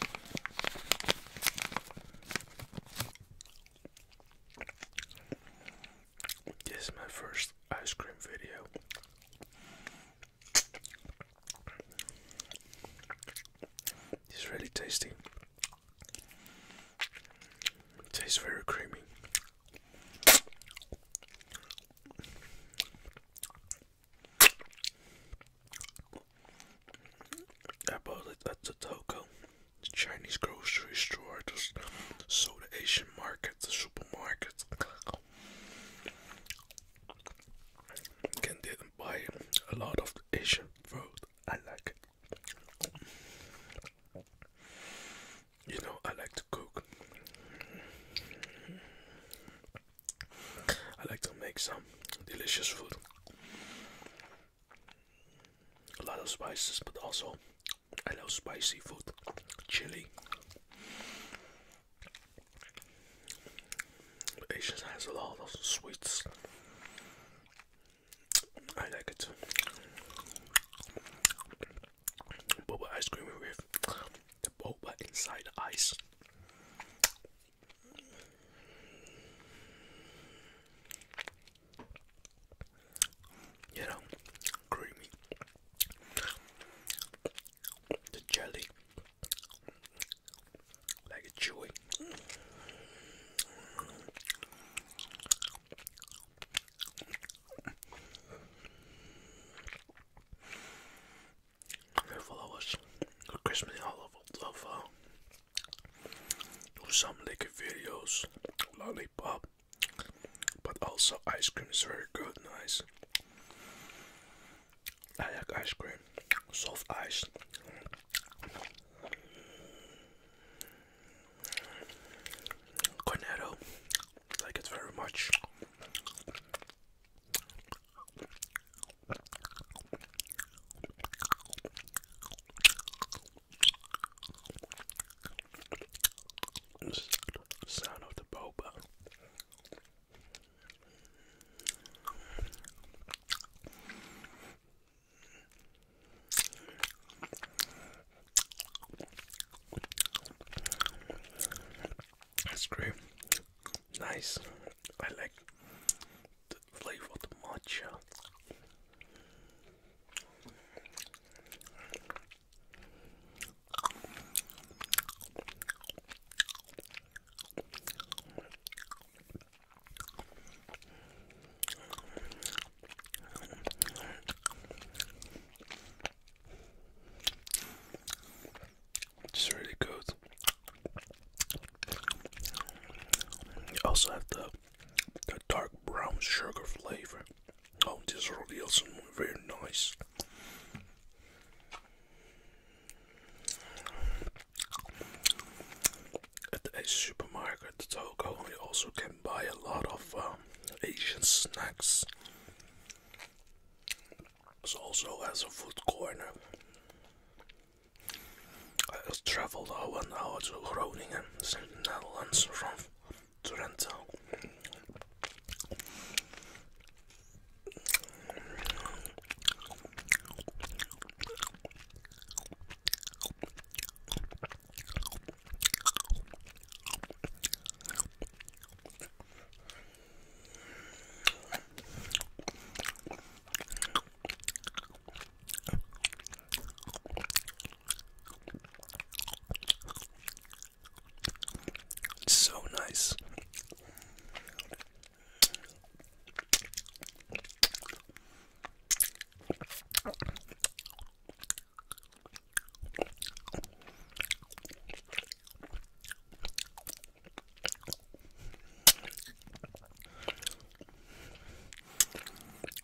This is my first ice cream video. It's really tasty. It tastes very creamy. I bought it at the Toko, Chinese grocery store. I just saw the Asian market, the supermarket. Can didn't buy a lot of the Asian food. I like it. You know, I like to cook. I like to make some delicious food. A lot of spices, but also I love spicy food. Chili. Asians has a lot of sweets. I like it. Boba ice cream with the boba inside the ice. You know, creamy. The jelly, like chewy. Their followers were Christmas all of, some liquor videos, lollipop, but also ice cream is very good, nice. I like ice cream, soft ice. Cornetto, like it very much. Sound of the boba. That's great. Nice. I like the flavor of matcha. It's really good. You also have the the dark brown sugar flavor. Oh, this really is very nice. At the Ace supermarket, the Togo only also can and buy a lot of um, Asian snacks. So also has a food corner. I traveled uh, one hour to Groningen, in the Netherlands, from Trento. It's so nice.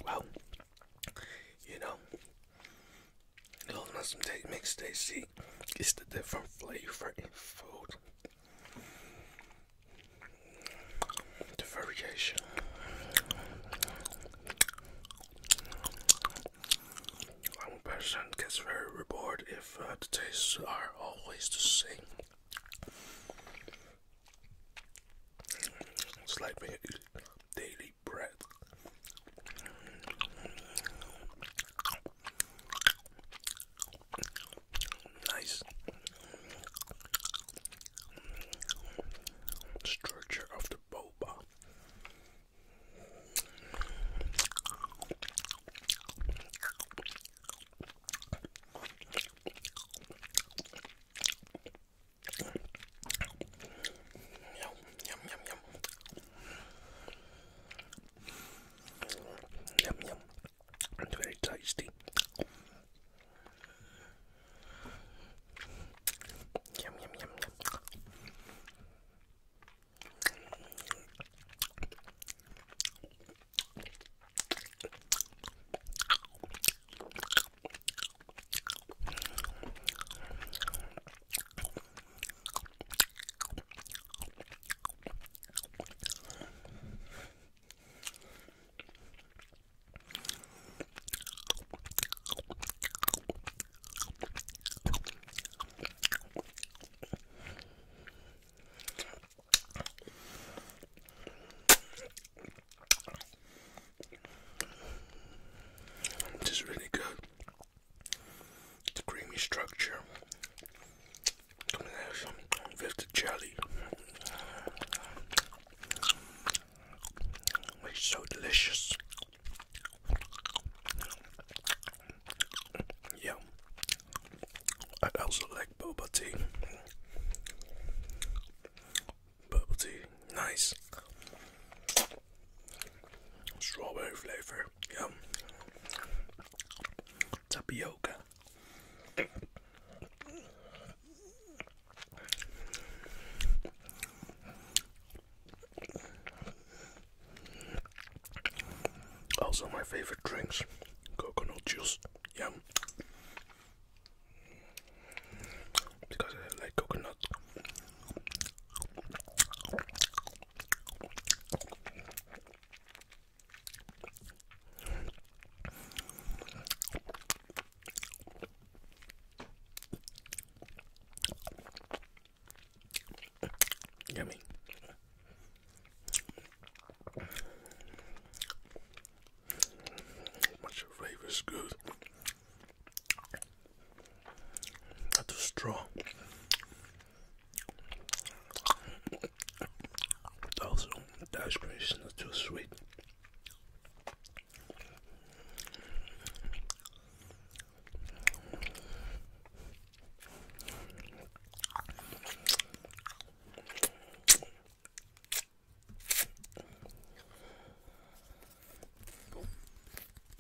Well, you know, those mushrooms that makes tasty It's the different flavor in food the variation. One person gets very bored if uh, the tastes are always the same. It's daily bread nice structure of the boba. Yum, yum, yum, yum. Yum, and very tasty. yum yum yum. This is really good. The creamy structure Coming jelly. It's so delicious. Yeah. I also like bubble tea. Bubble tea, nice. Strawberry flavor. Yum. Tapioca. Also, my favorite drinks coconut juice. Yum. Because I like coconut. Yummy. My flavor is good. Not too strong. Also, the ice cream is not too sweet.